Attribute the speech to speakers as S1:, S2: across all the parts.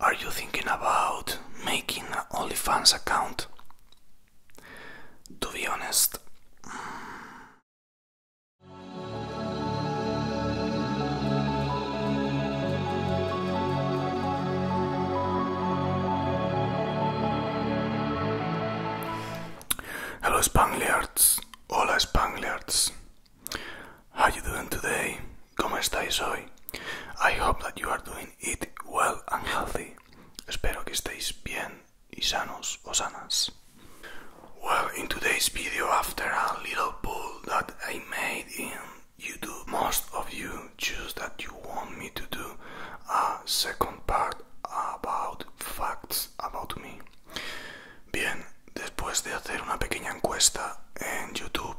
S1: Are you thinking about making an OnlyFans account? To be honest, mm. Hello Spangliards, hola Spangliards. How you doing today? ¿Cómo estáis hoy? I hope that you are doing it well and healthy. Espero que estéis bien y sanos o sanas. Well, in today's video, after a little poll that I made in YouTube, most of you choose that you want me to do a second part about facts about me. Bien, después de hacer una pequeña encuesta en YouTube,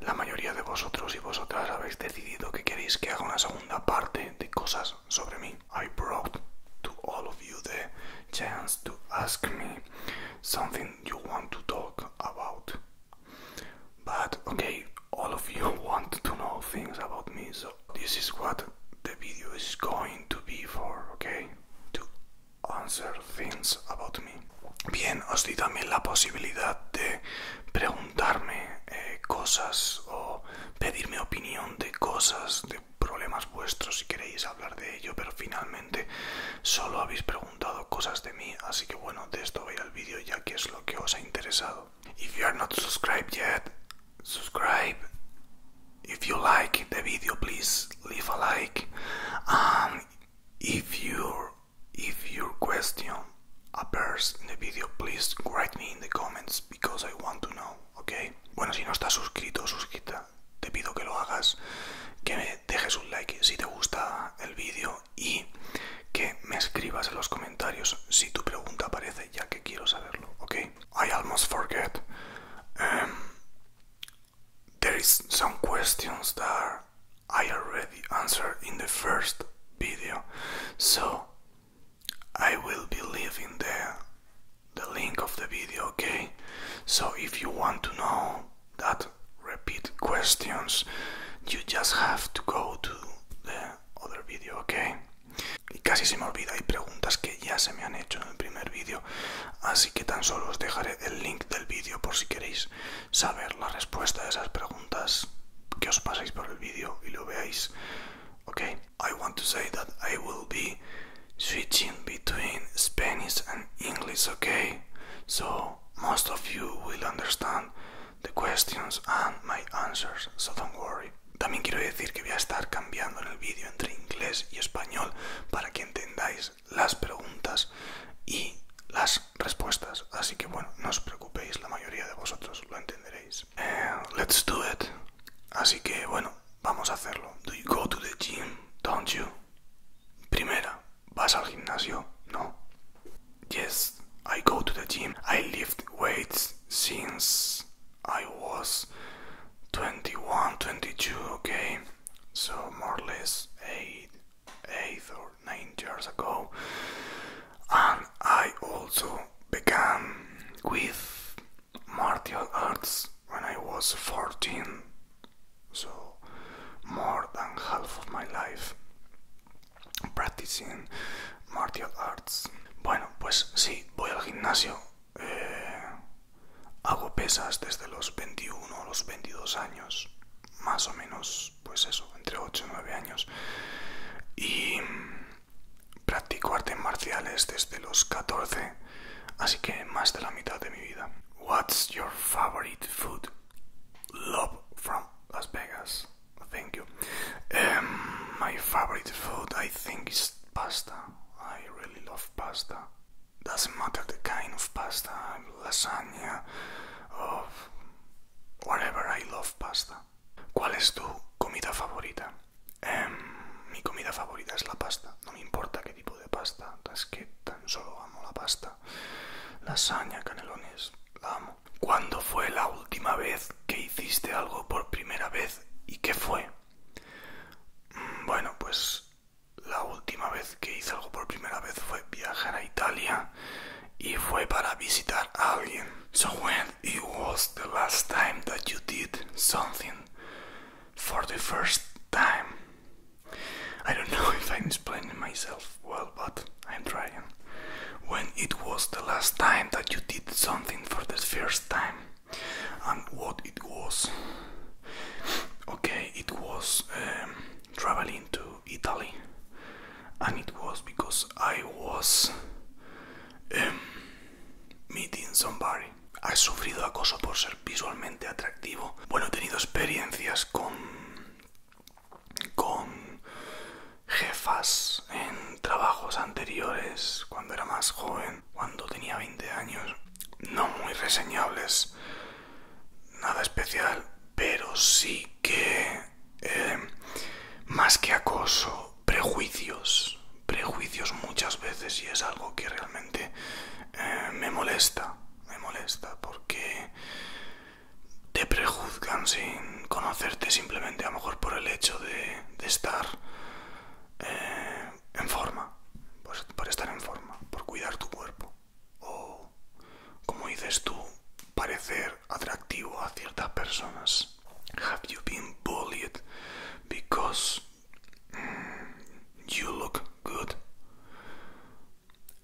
S1: la mayoría de vosotros y vosotras habéis decidido que queréis que haga una segunda parte de cosas sobre mí. I brought to all of you the chance to ask me something you want to talk about. But okay, all of you want to know things about me, so this is what the video is going to be for, okay? To answer Bien, os di también la posibilidad de preguntarme eh, cosas o pedirme opinión de cosas, de problemas vuestros si queréis hablar de ello, pero finalmente solo habéis preguntado cosas de mí, así que bueno, de esto voy al vídeo ya que es lo que os ha interesado.
S2: If you are not subscribed yet, subscribe. If you like the
S1: video, please leave a like. if you If your question appears in the video, please write me in the comments because I want to know, okay? Bueno, si no estás suscrito o te pido que lo hagas, que me dejes un like si te gusta el vídeo y que me escribas en los comentarios si tu pregunta aparece, ya que quiero saberlo, ok? I almost forget. Em, There is some questions that I already answered in the first video, so I will be leaving the the link of the video, okay? So if you want to know that repeat questions, you just have to go to the other video, okay? Y casi se me olvida, hay preguntas que ya se me han hecho en el primer vídeo, así que tan solo os dejaré el link del vídeo por si queréis saber la respuesta a esas preguntas, que os paséis por el vídeo y lo veáis. Okay, I want to say
S2: that I will be switching between Spanish and English, okay? So most of you will
S1: understand the questions and my answers, so don't worry. También quiero decir que voy a estar cambiando en el vídeo entre inglés y español para que entendáis las preguntas y las respuestas. Así que bueno, no os preocupéis, la mayoría de vosotros lo entenderéis. Eh, let's do it. Así que bueno, vamos a hacerlo. Do you go to the gym? Don't you? Primera, ¿vas al gimnasio? No. Yes, I go to the gym. I lift weights since I was 21, 22, okay? So more or less 8 eight or nine years ago, and I also began with martial arts when I was 14, so more than half of my life practicing martial arts. Bueno, pues sí, voy al gimnasio. Eh, hago pesas desde los 21 o los 22 años. más o menos, pues eso, entre 8 y 9 años. Y practico artes marciales desde los 14, así que más de la mitad de mi vida. What's your
S2: favorite food? Love from Las Vegas. Thank you.
S1: Em, my favorite food, I think, is pasta. I really love pasta. No matter the kind of pasta, lasaña of whatever, I love pasta. ¿Cuál es tu comida favorita? Em, mi comida favorita es la pasta. No me importa qué tipo de pasta, es que tan solo amo la pasta. Lasaña, canelones, la amo. ¿Cuándo fue la última vez que hiciste algo por primera vez y qué fue? Mm, bueno, pues la última vez que hice algo por primera vez fue viajar a Italia y fue para visitar a alguien. So when it was the last time that you did something for the first time. I don't know if I'm explaining myself well, but I'm trying. When it was the last time that you did something for the first time and what it was. Okay, it was um, traveling to Italy, and it was because I was em, meeting somebody. sufrido acoso por ser visualmente atractivo? Bueno, he tenido experiencias con, con jefas en trabajos anteriores, cuando era más joven, cuando tenía 20 años, no muy reseñables nada especial, pero sí que eh, más que acoso, prejuicios, prejuicios muchas veces y es algo que realmente eh, me molesta, me molesta porque
S2: te prejuzgan sin conocerte simplemente a lo mejor por el hecho
S1: de, estar eh, en forma, por estar en forma, por cuidar tu cuerpo o, como dices tú, parecer atractivo a ciertas personas. Have you been bullied because mm, you look good?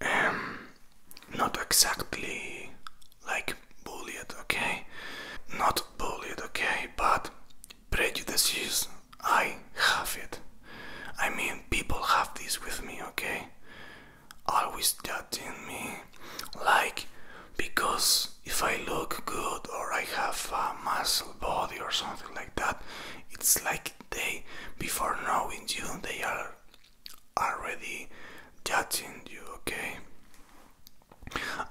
S1: Em, not exactly like bullied, okay? Not bullied, okay? But prejudices, I have it. I mean, people have this with me, okay? Always judging me. Like, because if I look good or I have a muscle body or something like that, it's like they, before knowing you, they are already judging you, okay?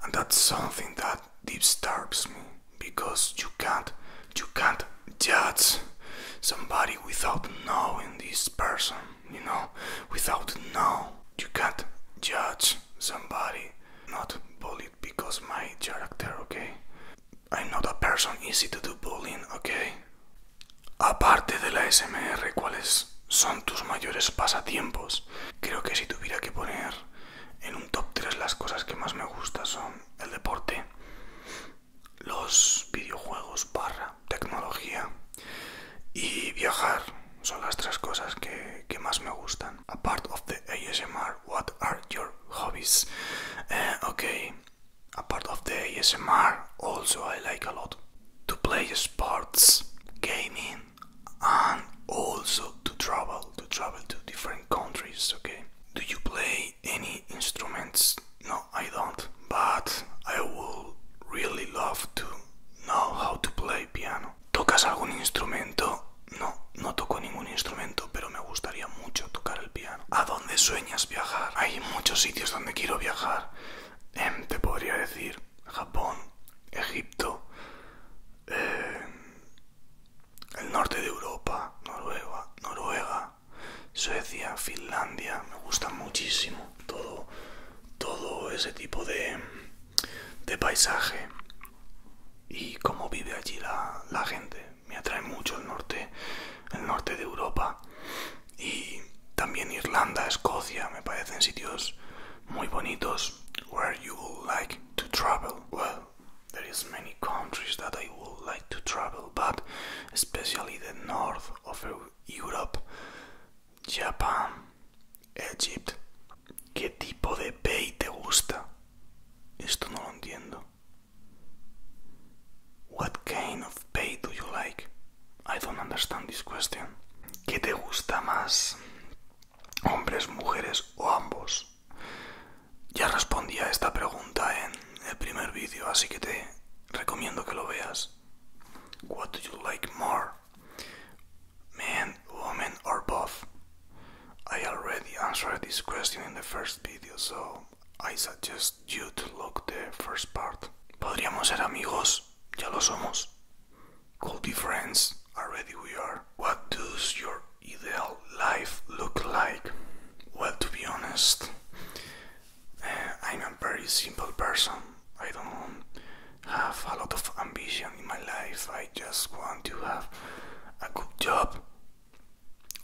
S1: And that's something that disturbs me because you can't you can't judge somebody without knowing this person, you know, without knowing, You can't judge somebody, not bullied because my character, okay? I'm not a person easy to do bullying, okay? Aparte de la SMR, ¿cuáles son tus mayores pasatiempos? Creo que si tuviera que poner en un top tres las cosas que más me gustan son el deporte, los videojuegos barra tecnología y viajar son las tres cosas que, más me gustan. Apart of the ASMR, what are your hobbies? Eh, okay okay, apart of the ASMR, also I like a lot to play sports, gaming, and also to travel, to travel to different countries. Okay, do you play any instruments? No, I don't, but I would really love to know how to play piano. ¿Tocas algún instrumento? No, no toco ningún instrumento, pero me gustaría mucho tocar el piano. ¿A dónde sueñas viajar? Hay muchos sitios donde quiero viajar. Em, te podría decir Japón, Egipto, eh, el norte de Europa, Noruega, Noruega, Suecia, Finlandia, me gusta muchísimo todo, todo ese tipo de, de paisaje y cómo vive allí la, la gente. Me atrae mucho el norte, el norte de Europa y también Irlanda, Escocia, me parecen sitios muy bonitos. Where you would like to travel? Well, there is many countries that I would like to travel pero but especially the north of Europe, Japan, ¿Qué tipo de pay te gusta? Esto no lo entiendo. What kind of pay do you like? I don't understand this ¿Qué te gusta más? ¿Hombres, mujeres o ambos? Ya respondí a esta pregunta en el primer video, así que te recomiendo que lo veas. What do you like more? Man, woman or both? I already answered this question in the first video, so I suggest you to look the first part. Podríamos ser amigos, ya lo somos. Could be friends, already we are. What does your ideal life look like? Well, to be honest, I'm a very simple person. I don't have a lot of ambition in my life. I just want to have a good job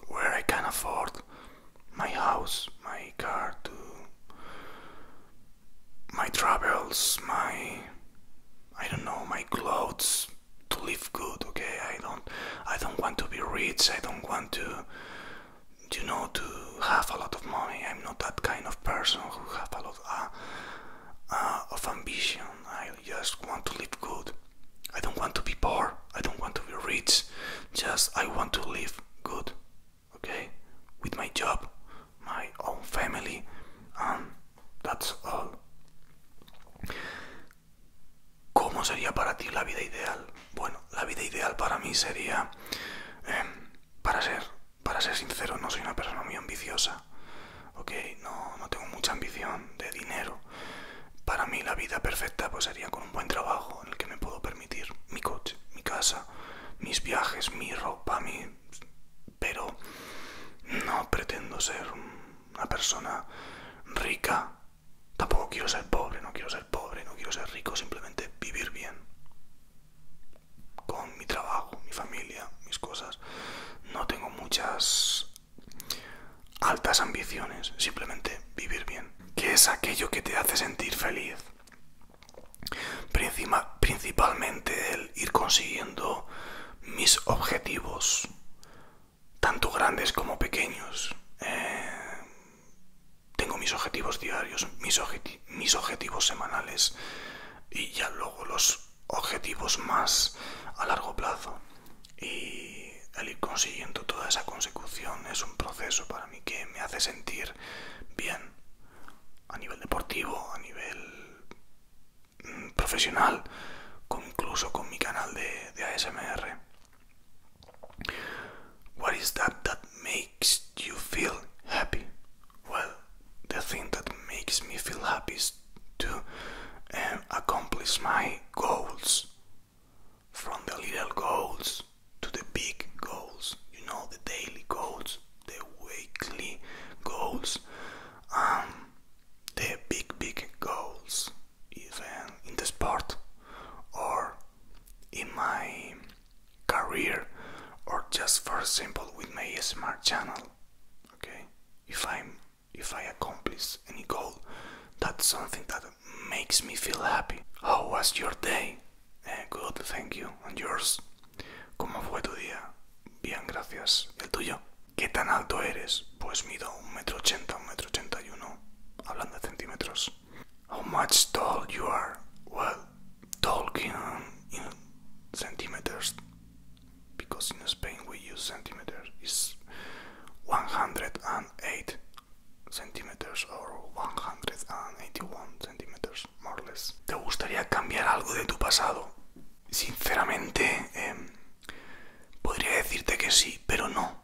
S1: where I can afford my house, my car, to my travels, my I don't know, my clothes to live good, okay? I don't I don't want to be rich. I don't want to you know to have a lot of money. I'm not that kind of person who have a lot uh, uh, of ambition. I just want to live good. I don't want to be poor. I don't want to be rich. Just I want to live good. Okay? With my job, my own family, and that's all. ¿Cómo sería para ti la vida ideal? Bueno, la vida ideal para mí sería, em, para ser, para ser sincero, no soy una persona muy ambiciosa, No, no tengo mucha ambición de dinero. Para mí la vida perfecta pues, sería con un buen trabajo en el que me puedo permitir mi coche, mi casa, mis viajes, mi ropa, mi... Pero no pretendo ser una persona rica Tampoco quiero ser pobre, no quiero ser pobre, no quiero ser rico, simplemente vivir bien. Con mi trabajo, mi familia, mis cosas. No tengo muchas altas ambiciones, simplemente vivir bien. Que es aquello que te hace sentir feliz. principalmente el ir consiguiendo mis
S2: objetivos, tanto grandes como pequeños. Eh, tengo mis objetivos diarios, mis,
S1: objetivos semanales y ya luego los objetivos más a largo plazo. Y el ir consiguiendo toda esa consecución es un proceso para mí que me hace sentir bien a nivel deportivo, a nivel mm, profesional, incluso con mi canal de, de ASMR. What is that that
S2: makes you feel happy? Well, the thing that makes me feel
S1: happy is to um, accomplish my goals. From the little goals to the big goals, you know, the daily goals, the weekly goals, um, the big, big goals even in the sport or in my career or just for example with my smart channel okay if i if i accomplish any goal that's something that makes me feel happy how was your day eh, good thank you and yours cómo fue tu día bien gracias el tuyo qué tan alto eres pues mido un metro ochenta un metro ochenta y uno hablando de centímetros How much tall you are? Well, talking in centimeters, because in Spain we use centimeters. Is 108 centimeters or 181 centimeters, more or less. ¿Te gustaría cambiar algo de tu pasado? Sinceramente, em, podría decirte que sí, pero no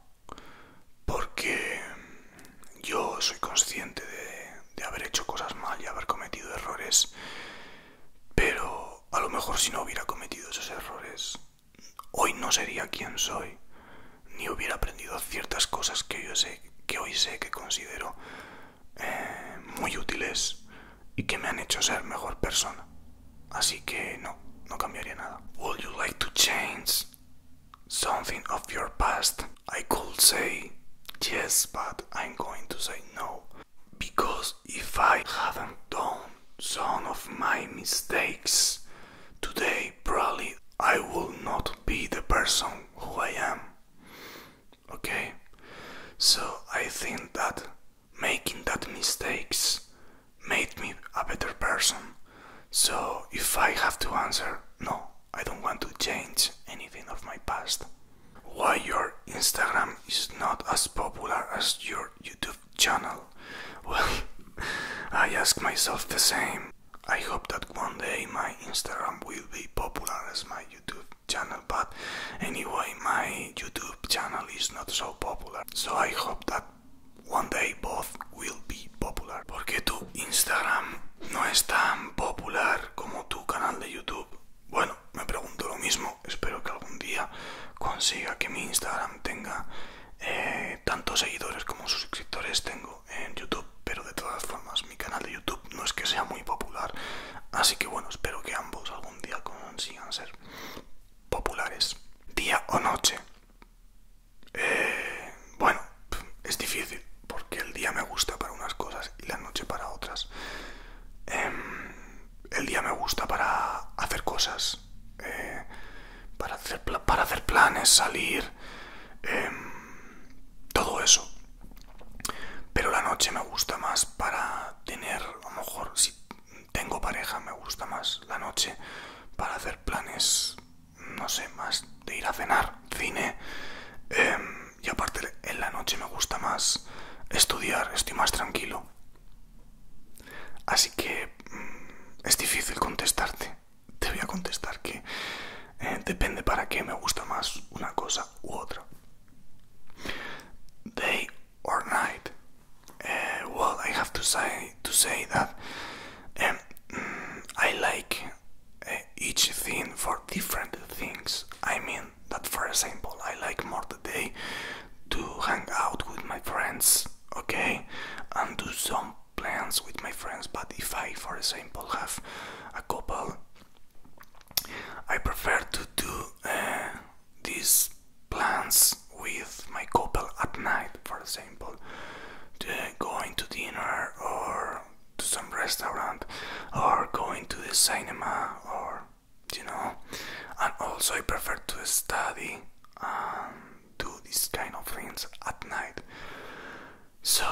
S1: porque yo soy consciente de, haber hecho cosas mal y haber cometido errores, pero a lo mejor si no hubiera cometido esos errores, hoy no sería quien soy, ni hubiera aprendido ciertas cosas que sé que hoy sé que considero eh, muy útiles y que me han hecho ser mejor persona. Así que no, no cambiaría nada. Would you like something of your past, I could say yes, but I'm going to say no. Because if I haven't done some of my mistakes today, probably I will not be the person who I am. Okay? So I think that making that mistakes made me a better person. So if I have to answer, no, I don't want to change anything of my past. Why your Instagram is not as popular as your YouTube channel? Well, I ask myself the same. I hope that one day my Instagram will be popular as my YouTube channel, but anyway, my YouTube channel is not so popular. So I hope that one day both will be popular. Porque tu Instagram no es tan popular como tu canal de YouTube. Bueno, me pregunto lo mismo. Espero que algún día consiga que mi Instagram tenga eh, tantos seguidores como suscriptores tengo en YouTube. Pero de todas formas, mi canal de YouTube no es que sea muy popular. Así que bueno, espero que ambos algún día consigan ser populares. Día o noche. Eh, bueno, es difícil porque el día me gusta para unas cosas y la noche para otras. Em, el día me gusta para hacer cosas, eh, para, hacer para hacer planes, salir, em, todo eso. Pero la noche me gusta más para tener, a lo mejor si tengo pareja, me gusta más la noche para hacer planes no sé, más de ir a cenar, cine. Em, y aparte en la noche me gusta más estudiar, estoy más tranquilo. Así que mm, es difícil contestarte. Te voy a contestar que eh, depende para qué me gusta más una cosa u otra. Day or night. Eh, well, I have to say to say that and mm, I like eh, each thing for different things. I mean that for example I like more the day to hang out with my friends, okay, and do some plans with my friends. But if I, for example, have a couple, I prefer to do eh, these plans with my couple at night, for example, going to dinner or to some restaurant or going to the cinema or you know and also I prefer to study and do these kind of things at night so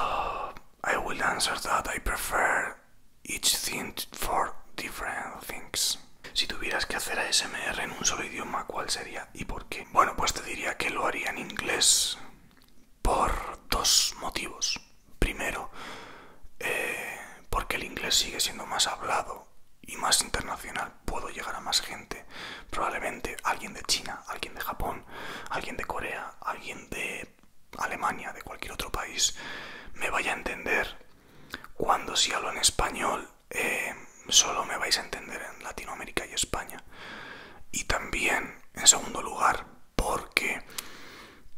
S1: I will answer that I prefer each thing for different things Si tuvieras que hacer ASMR en un solo idioma, ¿cuál sería? y por qué. Bueno, pues te diría que lo haría en inglés por
S2: dos motivos. Primero, eh, porque el inglés sigue siendo más hablado y más internacional. Puedo llegar a más gente. Probablemente
S1: alguien de China, alguien de Japón, alguien de Corea, alguien de Alemania, de cualquier otro país, me vaya a entender cuando si hablo en español eh, solo me vais a entender en Latinoamérica y España. Y también, en segundo lugar, porque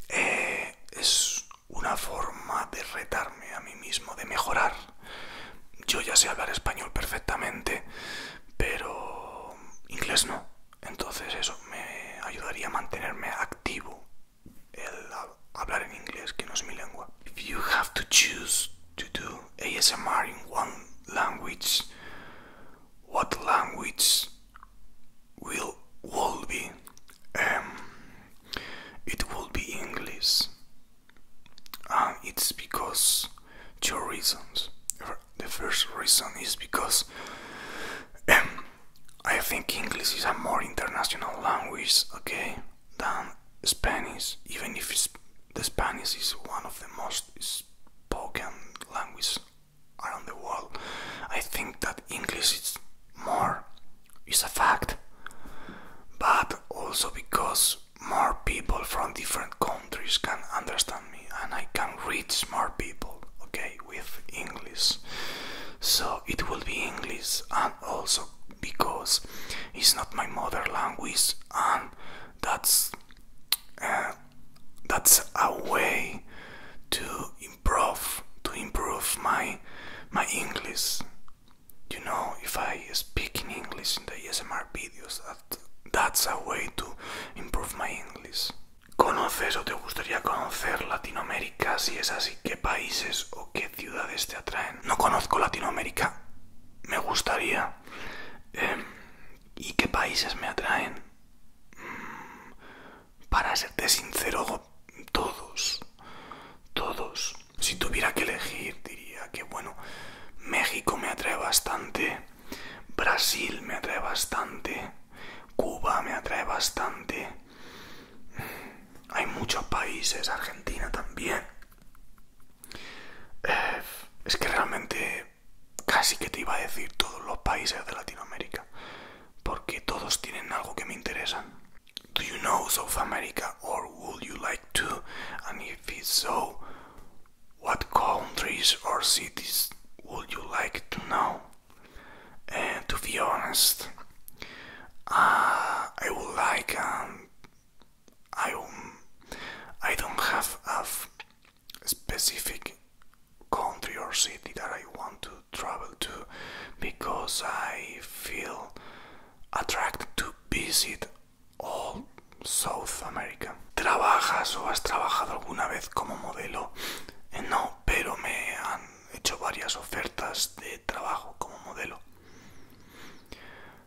S1: eh, es una forma de retarme a mí mismo, de mejorar. Yo ya sé hablar español perfectamente, pero inglés no. Entonces eso me ayudaría a mantenerme activo el hablar en inglés, que no es mi lengua. you have to choose ASMR in one language, what language will will be? Um, it will be English, it's because two reasons. The first reason is because um, I think English is a more international language, okay, than Spanish, even if it's the Spanish is one of the most spoken languages around the world. I think that English is more It's a fact, but also because more people from different countries can understand me and I can reach more people, okay, with English. So it will be English and also because it's not my mother language and um, that's uh, that's a way to improve to improve my my English. You know, if I speak in English in the ASMR videos, that's a way to improve my English. ¿Conoces o te gustaría conocer Latinoamérica? Si es así, ¿qué países o qué ciudades te atraen? No conozco Latinoamérica. Me gustaría. Em, ¿Y qué países me atraen? Mm, para serte sincero, todos. Todos. Si tuviera que elegir, diría que, bueno, México me atrae bastante. Brasil me atrae bastante. Cuba me atrae bastante. Mm, hay muchos países, Argentina también. Eh, es que realmente casi que te iba a decir todos los países de Latinoamérica, porque todos tienen algo que me interesa Do you know South America or would you like to? And if it's so, what countries or cities would you like to know? And eh, to be honest, uh, I would like um, I don't, I don't have a specific country or city that I want to travel to because I feel attracted to visit all South America. ¿Trabajas o has trabajado alguna vez como modelo? Eh, no, pero me han hecho varias ofertas de trabajo como modelo.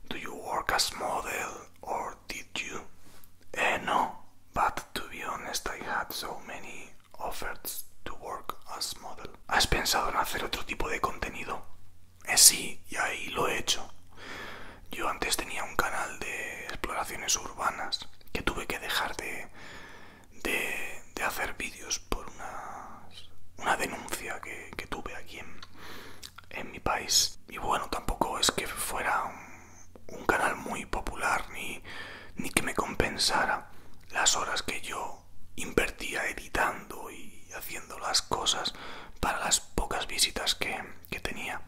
S1: Do you work as model or did you? Eh, no, but to be honest, I had so many offers to work as model. ¿Has pensado en hacer otro tipo de contenido? Eh, sí, y ahí lo he hecho. Yo antes tenía un canal de exploraciones urbanas que tuve que dejar de, de, de hacer vídeos por una una denuncia que, que tuve aquí en, en mi país. Y bueno, tampoco es que fuera un, canal muy popular ni, ni que me compensara las horas que yo invertía editando y haciendo las cosas para las pocas visitas que, que tenía.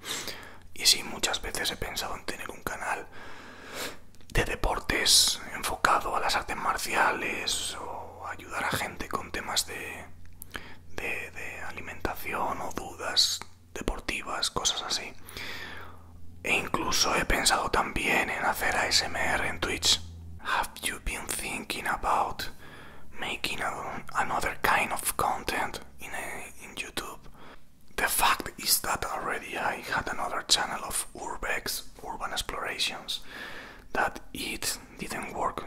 S1: Y sí, muchas veces he pensado en tener un canal de deportes enfocado a las artes marciales o ayudar a gente con temas de, de, de alimentación o dudas deportivas, cosas así. E incluso he pensado también en hacer ASMR en Twitch. Have you been thinking about making another kind of content eh, in YouTube? The fact is that already I had another channel of Urbex Urban Explorations that it didn't work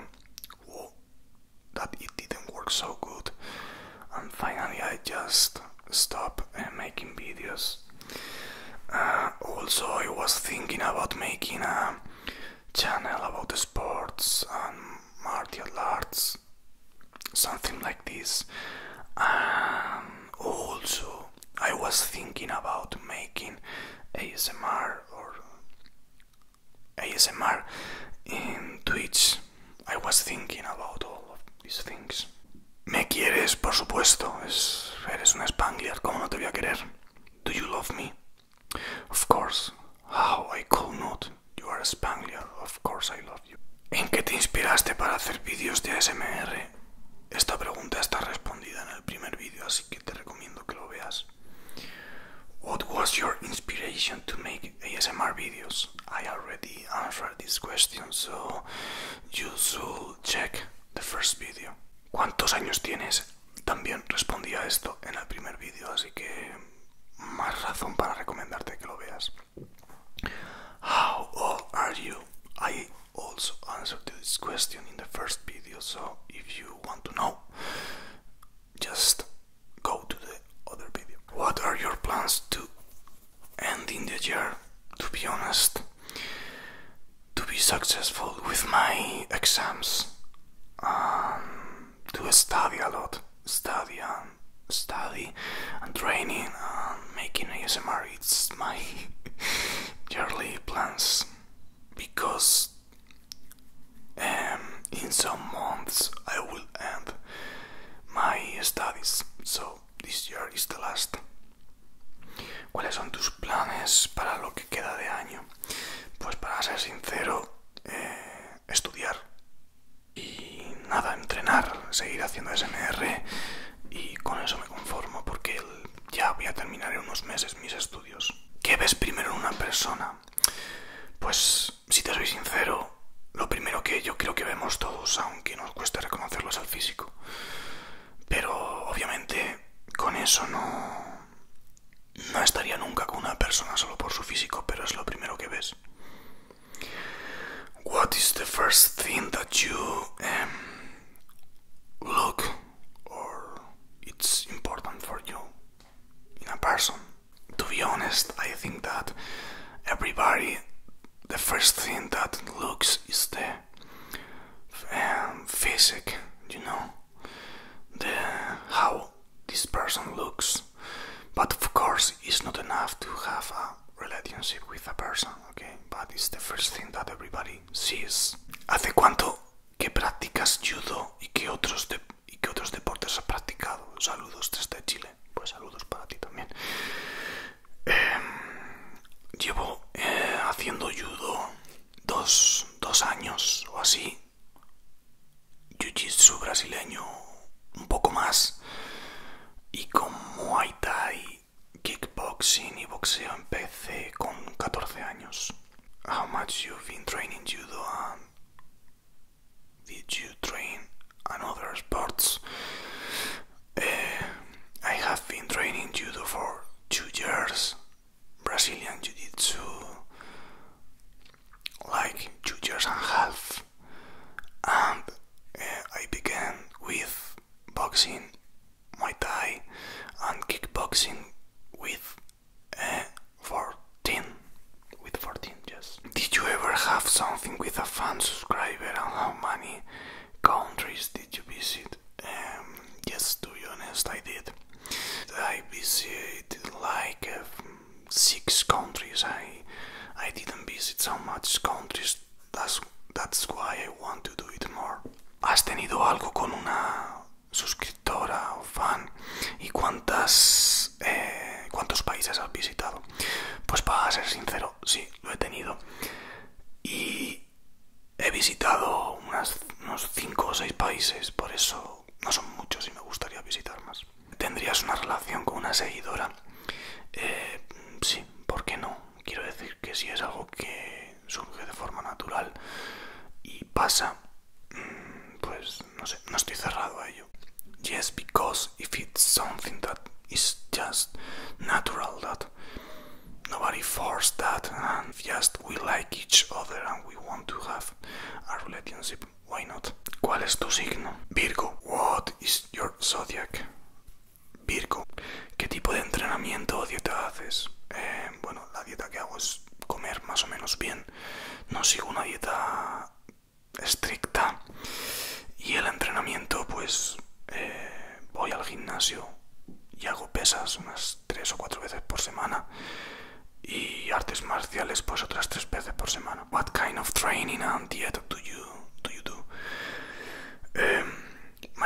S1: that it didn't work so good and finally I just
S2: stopped uh, making videos. Uh, also I was thinking
S1: about making a channel about sports and martial arts something like this and also I was thinking about making ASMR or ASMR en Twitch. I was thinking about all of these things. Me quieres, por supuesto. eres una Spangler, ¿cómo no te voy a querer? Do you love me? Of course. How I could not. You are a Spangler. Of course I love you. ¿En qué te inspiraste para hacer vídeos de ASMR? Esta pregunta está respondida en el primer vídeo, así que te recomiendo que lo veas. What was your inspiration to make ASMR videos? I already answered this question, so you should check the first video. ¿Cuántos años tienes? También respondí esto en el primer vídeo, así que más razón para recomendarte que lo veas. How old are you? I also answered this question in the first video, so if you want to know, just go to the other video. What are your plans to end in the year? To be honest, to be successful with my exams, um, to study a lot, study and um, study and training and um, making ASMR. It's my yearly plans because En em, algunos some months, I will end my studies, so this year is the last. ¿Cuáles son tus planes para lo que queda de año? Pues para ser sincero, eh, estudiar y nada, entrenar, seguir haciendo SMR y con eso me conformo porque ya voy a terminar en unos meses mis estudios. ¿Qué ves primero en una persona? pues si te soy sincero, lo primero que yo creo que vemos todos, aunque nos cueste reconocerlos al físico. Pero obviamente con eso no, no estaría nunca con una persona solo por su físico, pero es lo primero que ves. What is the first thing that you um, look or it's important for you? in a person. To be honest, I think that everybody, the first thing that looks is the um, Physic, you know, the how this person looks. But of course, it's not enough to have a relationship with a person, okay? But it's the first thing that everybody sees. ¿Hace cuánto que practicas judo y que otros de ¿Y qué otros deportes has practicado? Saludos desde Chile. Pues saludos para ti también. Em, llevo eh, haciendo judo dos, años o así. Jiu-jitsu brasileño un poco más. Y con Muay Thai, kickboxing y boxeo empecé con 14 años. How much you've been training judo Did you train in other sports? Uh, I have been training judo for two years, Brazilian jiu-jitsu, like two years and a half, and uh, I began with boxing, Muay Thai, and kickboxing with 14 with 14 yes did you ever have something with a fan subscriber and how many countries did you visit um, yes to be honest i did i visited like um, six countries i i didn't visit so much countries that's that's why i want to do it more has tenido algo con una suscriptora o fan y cuántas
S2: eh, cuántos países has visitado pues para ser sincero sí lo he tenido y he visitado unos 5 o
S1: 6 países por eso no son muchos y me gustaría visitar más tendrías una relación con una seguidora eh, sí por qué no quiero decir que si es algo que surge de forma natural y pasa mm, pues pues, no sé, no estoy cerrado a ello. Yes, because if it's something that is just natural, that nobody forced that, and just we like each other and we want to have a relationship, why not? ¿Cuál es tu signo? Virgo. What is your zodiac? Virgo. ¿Qué tipo de entrenamiento o dieta haces? Eh, bueno, la dieta que hago es comer más o menos bien no sigo una dieta estricta y el entrenamiento pues eh, voy al gimnasio y hago pesas unas tres o cuatro veces por semana y artes marciales pues otras tres veces por semana. What kind of training and diet do you do? no es una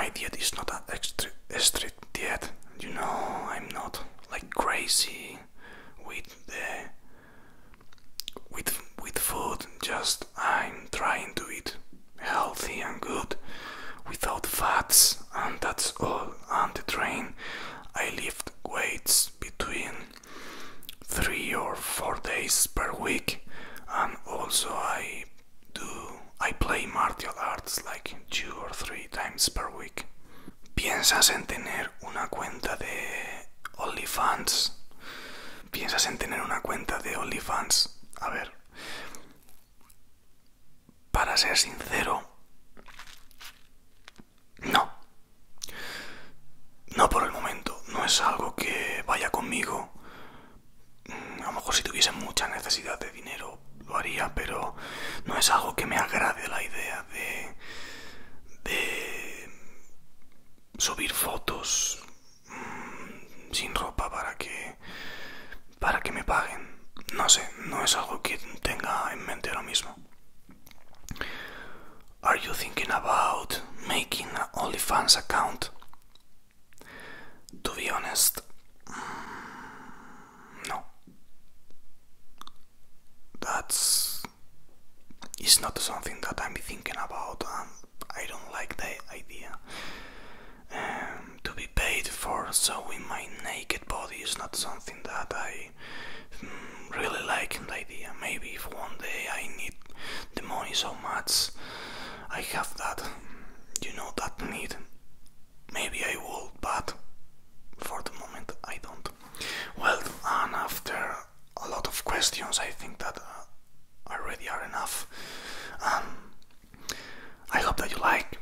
S1: my diet is not a strict diet. You know, I'm not like crazy with the with with food just i'm trying to eat healthy and good without fats and that's all on the train i lift weights between three or four days per week and also i do i play martial arts like two or three times per week ¿Piensas en tener una cuenta de OnlyFans? ¿Piensas en tener una cuenta de OnlyFans? A ver. Para ser sincero, no. No por el momento. No es algo que vaya conmigo. Mm, a lo mejor si tuviese mucha necesidad de dinero lo haría, pero no es algo que me agrade la idea de, subir fotos mm, sin ropa para que, para que me paguen. No sé, no es algo que tenga en mente ahora mismo. Are you thinking about making an OnlyFans account? To be honest, mm, no. That's it's not something that I'm thinking about, and um, I don't like the idea. Um, to be paid for showing my naked body is not something that I mm, really like the idea. Maybe if one day I need the money so much, I have that, you know, that need. Maybe I would, but for the moment I don't. Well, and after a lot of questions, I think that uh, already are enough. Um, I hope that you like.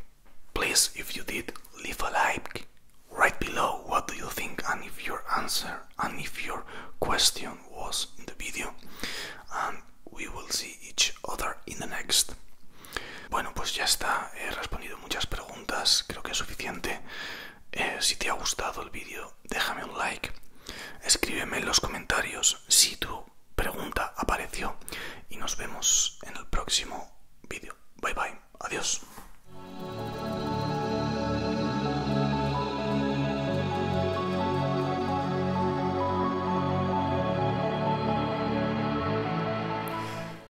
S2: Please, if you did, leave a like right below what do you think and if your
S1: answer and if your question was in the video. And we
S2: will see each other in the next. Bueno, pues ya está. He respondido muchas
S1: preguntas. Creo que es suficiente. Eh, si te ha gustado el vídeo, déjame un like. Escríbeme en los comentarios si tu pregunta apareció. Y nos vemos en el próximo vídeo. Bye bye. Adiós.